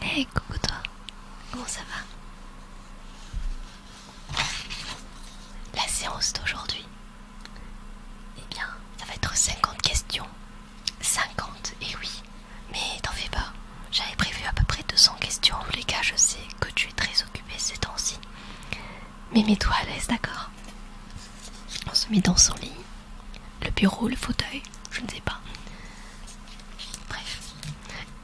Hey, eh, coucou toi, comment ça va La séance d'aujourd'hui, eh bien, ça va être 50 questions. 50, et eh oui, mais t'en fais pas. J'avais prévu à peu près 200 questions. En les cas, je sais que tu es très occupé ces temps-ci. Mais mets-toi à l'aise, d'accord On se met dans son lit, le bureau, le fauteuil, je ne sais pas. Bref,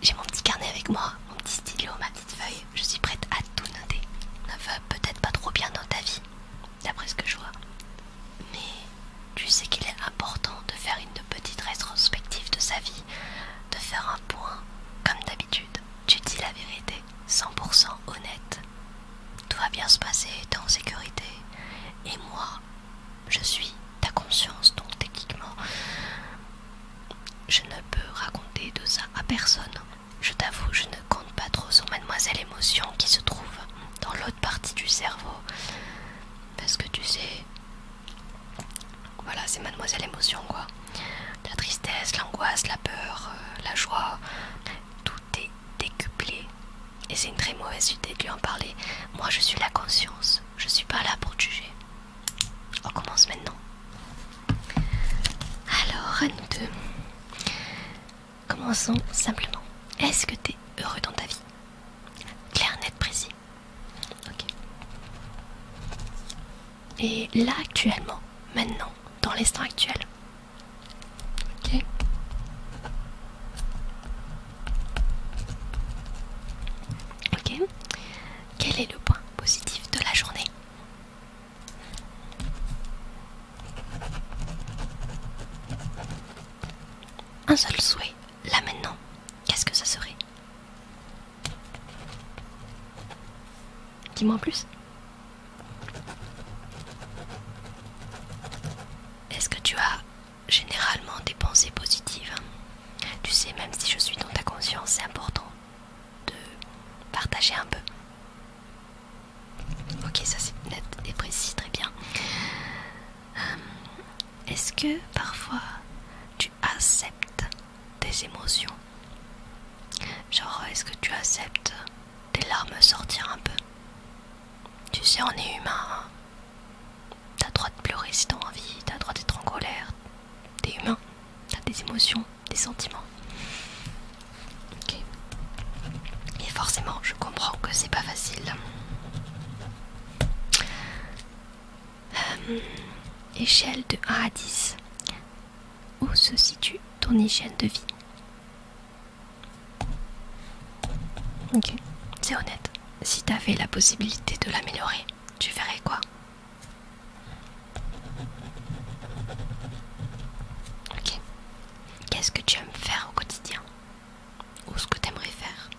j'ai mon petit carnet avec moi, mon petit stylo, ma petite feuille. Je suis prête à tout noter. va peut-être pas trop bien dans ta vie, d'après ce que je vois. Mais tu sais qu'il est important de faire une petite rétrospective de sa vie, de faire un point, comme d'habitude tu dis la vérité, 100% honnête. Tout va bien se passer, t'es en sécurité. Et moi, je suis ta conscience, donc techniquement, je ne peux raconter de ça à personne. Je t'avoue, je ne compte pas trop sur mademoiselle émotion qui se trouve dans l'autre partie du cerveau. Parce que tu sais... Voilà, c'est mademoiselle émotion quoi. La tristesse, l'angoisse, la peur, euh, la joie, tout est décuplé. Et c'est une très mauvaise idée de lui en parler. Moi, je suis la conscience. Je suis pas là pour juger. On commence maintenant. Alors, à nous deux. Commençons simplement. Est-ce que t'es heureux dans ta vie Clair, net, précis. Ok et là actuellement, maintenant, dans l'instant actuel. Ok Ok. Quel est le point positif de la journée Un seul souhait, là maintenant. Qu'est-ce que ça serait Dis-moi en plus. Est-ce que tu as généralement des pensées positives Tu sais, même si je suis dans ta conscience, c'est important de partager un peu. Ok, ça c'est net et précis, très bien. Euh, est-ce que parfois tu acceptes tes émotions Genre, est-ce que tu acceptes tes larmes sortir un peu Tu sais, on est humain. Hein. t'as droit de pleurer si t'as envie, t'as droit d'être en colère. T'es humain, t'as des émotions, des sentiments. Ok. Et forcément, je comprends que c'est pas facile. Euh, échelle de 1 à 10. Où se situe ton hygiène de vie Ok, c'est honnête. Si t'avais la possibilité de l'améliorer, tu ferais quoi Ok. Qu'est-ce que tu aimes faire au quotidien Ou ce que tu aimerais faire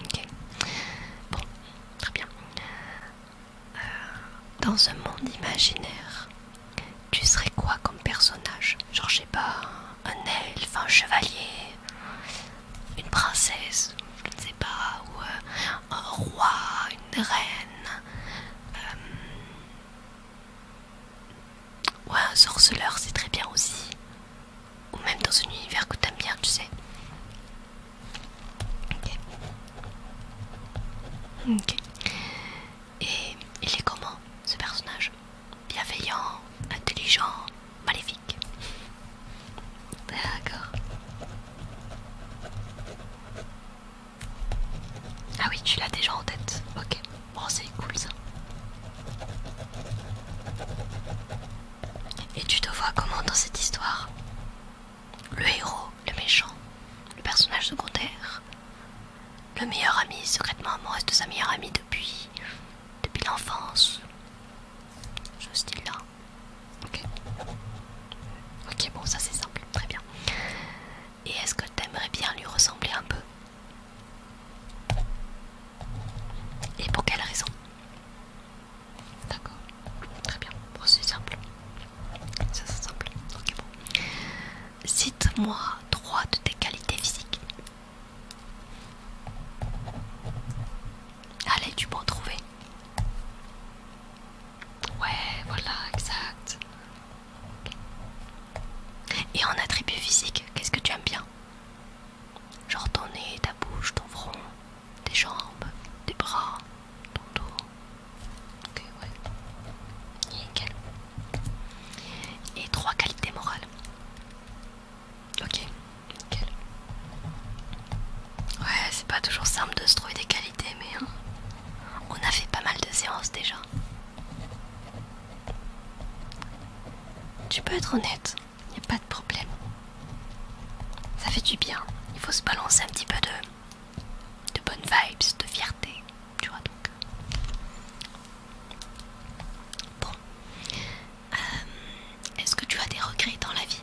Ok. Bon, très bien. Euh, dans ce monde imaginaire, tu serais quoi comme personnage Genre, je sais pas, un elfe, un chevalier, une princesse, je ne sais pas, ou euh, un roi, une reine, euh, ouais, un sorceleur, c'est très bien aussi. Ou même dans un univers que t'aimes bien, tu sais. Et il est comment ce personnage Bienveillant, intelligent, maléfique. D'accord. Ah oui, tu l'as déjà en tête. Ok, bon, oh, c'est cool ça. Et tu te vois comment dans cette histoire Le héros, le méchant, le personnage secondaire, le meilleur ami secrètement amoureuse de sa meilleure amie depuis, depuis l'enfance. Ce style-là. Ok. Ok, bon, ça c'est simple, très bien. Et est-ce que t'aimerais bien lui ressembler un peu Et pour quelle raison D'accord, très bien, bon, c'est simple. c'est simple, Cite-moi trois de tes qualités physiques. Allez, tu peux en trouver. Ouais, voilà, exact. Et en attribut physique, qu'est-ce que tu aimes bien Genre ton nez, ta bouche, ton front, tes jambes, tes bras, ton dos. Ok, ouais. Nickel. Et trois qualités morales. Ok, nickel. Ouais, c'est pas toujours simple de se trouver des qualités, mais hein, on a fait pas mal de séances déjà. Tu peux être honnête, y a pas de problème. Ça fait du bien, il faut se balancer un petit peu de, de bonnes vibes, de fierté, tu vois donc. Euh. Bon, euh, est-ce que tu as des regrets dans la vie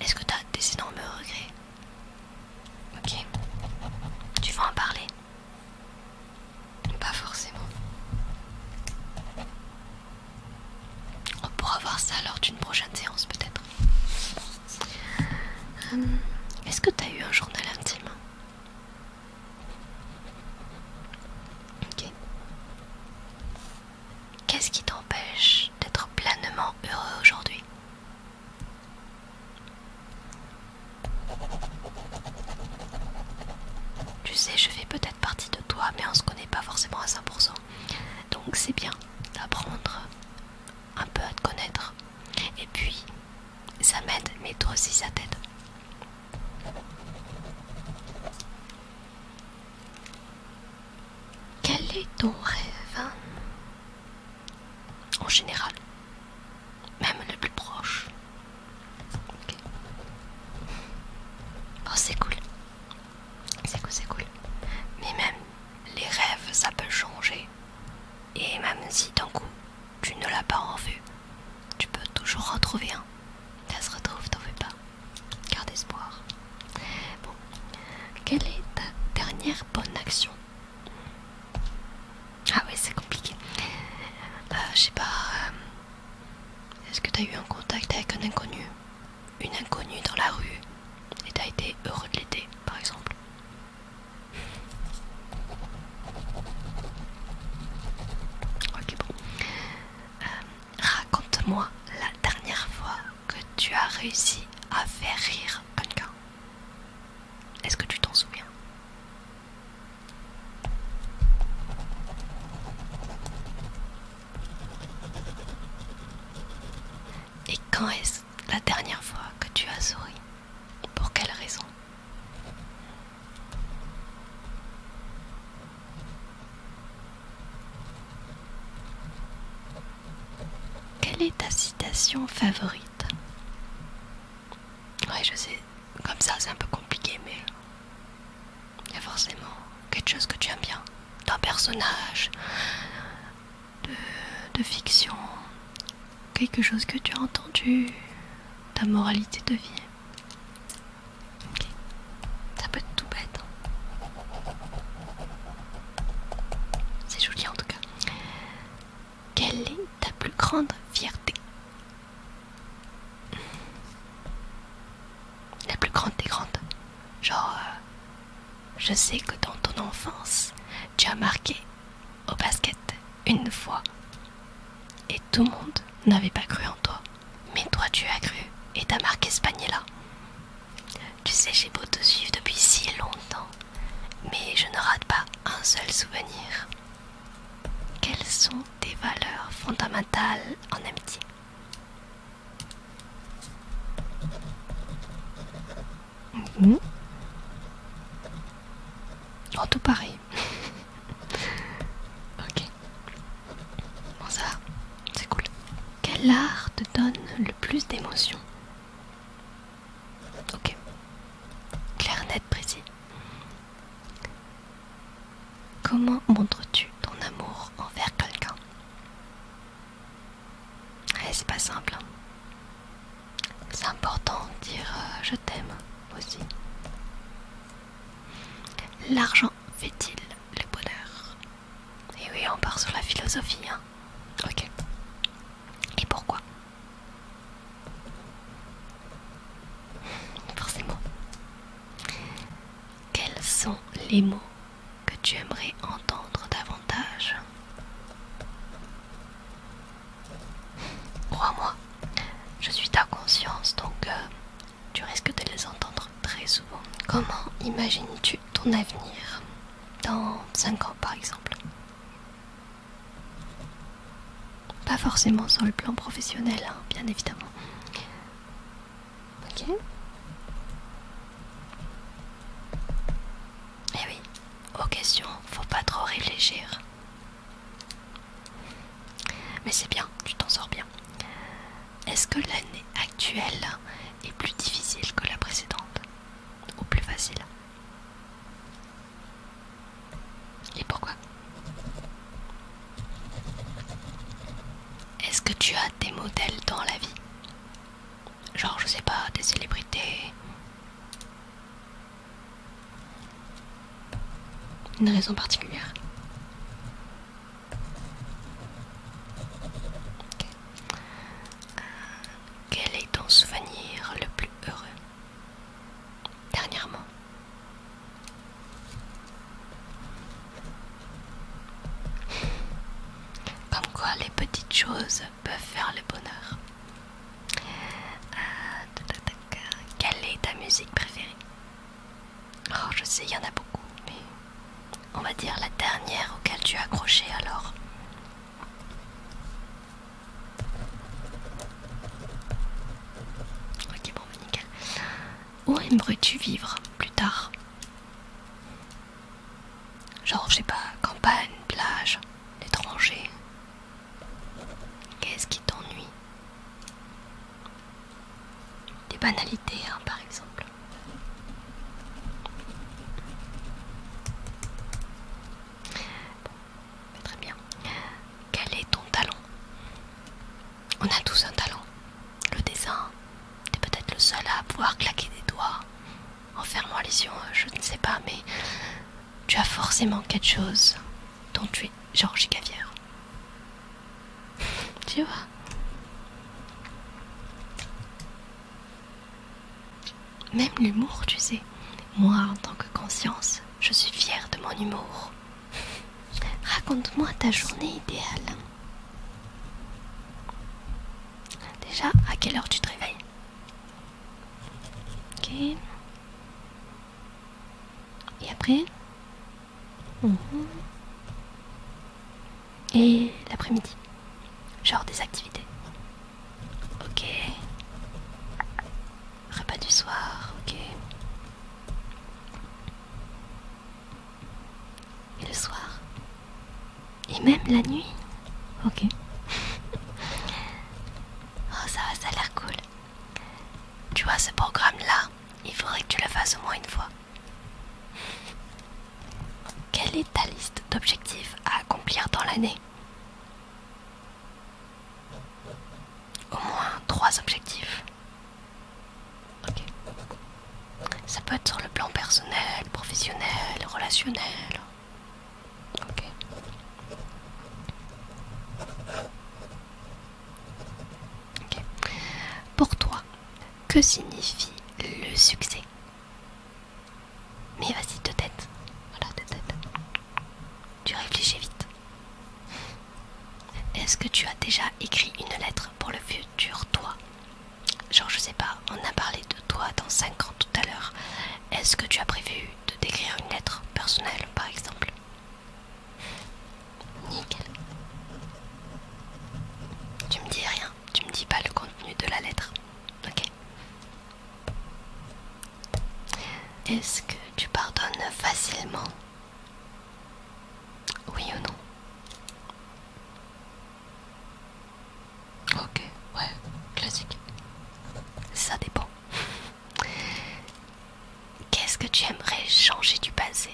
est-ce que t'as des énormes regrets Ok. Tu vas en parler Pas forcément. On pourra voir ça lors d'une prochaine séance peut-être. Hum, est-ce que t'as eu un journal intime Ok. Qu'est-ce qui t'empêche d'être pleinement heureux aujourd'hui Tu sais, je fais peut-être partie de toi, mais on ne se connaît pas forcément à 100%. Donc c'est bien d'apprendre un peu à te connaître. Et puis, ça m'aide, mais toi aussi ça t'aide. Quel est ton rêve hein? En général, même le plus proche. Oh, c'est cool. C'est cool, c'est cool. Mais même les rêves, ça peut changer. Et même si d'un coup, tu ne l'as pas en vue, tu peux toujours retrouver un. Ça se retrouve, t'en pas. Garde espoir. Bon. Quelle est ta dernière bonne action Ah oui c'est compliqué. Euh, je sais pas. Euh, est-ce que tu as eu un contact avec un inconnu Une inconnue dans la rue et as été heureux de l'été par exemple Ok, bon. Euh, raconte-moi la dernière fois que tu as réussi à faire rire quelqu'un Est-ce que tu t'en souviens Et quand est-ce la dernière fois que tu as souri Et Pour quelle raison quelle est ta citation favorite Ouais, je sais, comme ça c'est un peu compliqué, mais il y a forcément quelque chose que tu aimes bien d'un personnage de, fiction, quelque chose que tu as entendu, ta moralité de vie. Ça peut être tout bête. Hein. C'est joli en tout cas. Quelle est ta plus grande fierté La plus grande des grandes. Genre, euh, je sais que dans ton enfance, tu as marqué au basket une fois. Et tout le monde n'avait pas cru en toi. Mais toi, tu as cru et as marqué ce panier-là. Tu sais, j'ai beau te suivre depuis si longtemps, mais je ne rate pas un seul souvenir. Quelles sont tes valeurs fondamentales en amitié mhm. En tout pareil. ok. Bon ça va, c'est cool. Quel art te donne le plus d'émotions Ok. Clair, net, précis. Comment montres-tu ton amour envers quelqu'un eh, c'est pas simple. Hein. C'est important de dire euh, je t'aime aussi. L'argent fait-il le bonheur et oui, on part sur la philosophie, hein. Ok. Et pourquoi Forcément. Quels sont les mots que tu aimerais entendre davantage Crois-moi, je suis ta conscience, donc euh, tu risques de les entendre très souvent. Comment imagines-tu ton avenir dans 5 ans par exemple Pas forcément sur le plan professionnel, hein, bien évidemment. Ok Eh oui, aux questions, faut pas trop réfléchir. Mais c'est bien, tu t'en sors bien. Est-ce que l'année actuelle est plus difficile que la précédente Ou plus facile Et pourquoi Est-ce que tu as des modèles dans la vie Genre, je sais pas, des célébrités Une raison particulière euh, quel est ton souvenir le plus heureux dernièrement Comme quoi les petites choses peuvent faire le bonheur. Euh, quelle est ta musique préférée Oh, je sais, il y en a beaucoup, mais on va dire la dernière auquel tu as accroché alors. Ok, bon, Où aimerais-tu vivre plus tard Genre, je sais pas, campagne, plage, l'étranger. Qu'est-ce qui t'ennuie des banalités hein, par exemple. très bien. Quel est ton talent On a tous un talent. Le dessin. T'es peut-être le seul à pouvoir claquer des doigts en fermant les yeux. Je ne sais pas, mais tu as forcément quelque chose dont tu es Georgie Gavière. Tu vois Même l'humour, tu sais. Moi, en tant que conscience, je suis fière de mon humour. Raconte-moi ta journée idéale. Déjà, à quelle heure tu te réveilles Ok. Et après Mhm. Et l'après-midi. Genre des activités. Ok. Repas du soir, ok. Et le soir. Et même la nuit. Ok. oh ça va, ça a l'air cool. Tu vois ce programme-là, il faudrait que tu le fasses au moins une fois. Quelle est ta liste d'objectifs à accomplir dans l'année Au moins trois objectifs. Ça peut être sur le plan personnel, professionnel, relationnel. Pour toi, que signifie le succès Mais vas-y de tête. Voilà, de tête. Tu réfléchis vite. Est-ce que tu as déjà écrit une lettre pour le futur toi Genre je sais pas, on a parlé de toi dans 5 ans tout à l'heure. Est-ce que tu as prévu de décrire une lettre personnelle par exemple Nickel. Tu me dis rien, tu me dis pas le contenu de la lettre. Ok. Est-ce que tu pardonnes facilement Oui ou non Ok, ouais, classique. Ça dépend. Qu'est-ce que tu aimerais changer du passé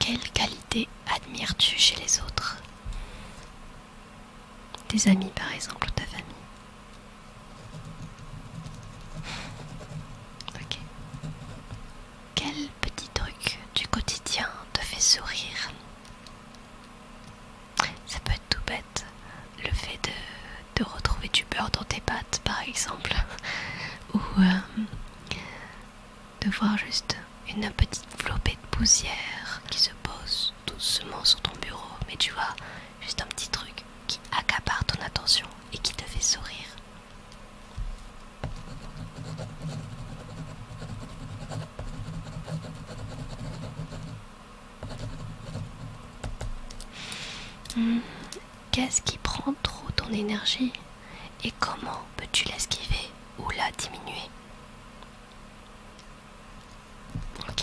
quelle qualité admires-tu chez les autres tes amis par exemple ta famille. Ok. Quel petit truc du quotidien te fait sourire Ça peut être tout bête. Le fait de, retrouver du beurre dans tes pattes par exemple. ou euh, de voir juste une petite flopée de poussière qui se pose doucement sur ton bureau. Mais tu vois, juste un petit truc qui accapare ton attention et qui te fait sourire. Hmm, qu'est-ce qui prend trop ton énergie et comment peux-tu l'esquiver ou la diminuer Ok.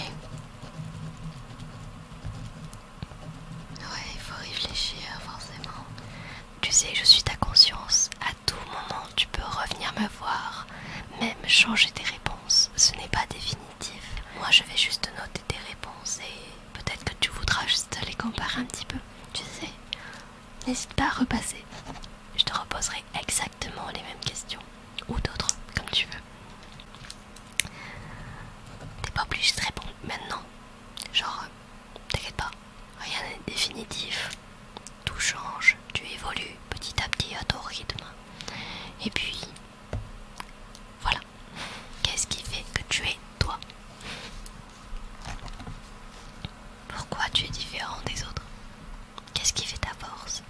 Ouais, il faut réfléchir forcément. Tu sais, je suis ta conscience. À tout moment, tu peux revenir me voir, même changer tes réponses. Ce n'est pas définitif. Moi, je vais juste noter tes réponses et peut-être que tu voudras juste les comparer un petit peu. Tu sais, N'hésite pas à repasser. Je te reposerai exactement les mêmes questions. Ou d'autres, comme tu veux. T'es pas obligé de répondre maintenant. Genre, euh, t'inquiète pas, rien n'est définitif. Tout change, tu évolues petit à petit à ton rythme. Et puis, voilà. Qu'est-ce qui fait que tu es toi pourquoi tu es différent des autres Qu'est-ce qui fait ta force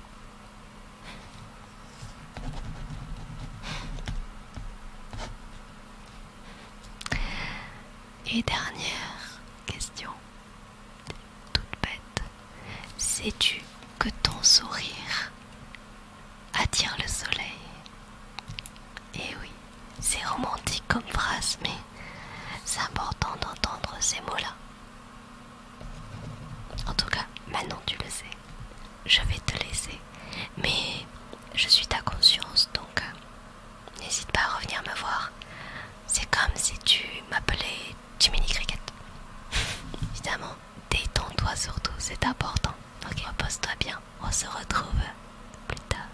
Et dernière question, toute bête. Sais-tu que ton sourire attire le soleil Eh oui, c'est romantique comme phrase, mais c'est important d'entendre ces mots-là. En tout cas, maintenant tu le sais. Je vais te laisser. Mais je suis ta conscience, donc euh, n'hésite pas à revenir me voir. C'est comme si tu m'appelais Jiminy Cricket. Évidemment, détends-toi surtout, c'est important. Donc repose-toi bien. On se retrouve plus tard.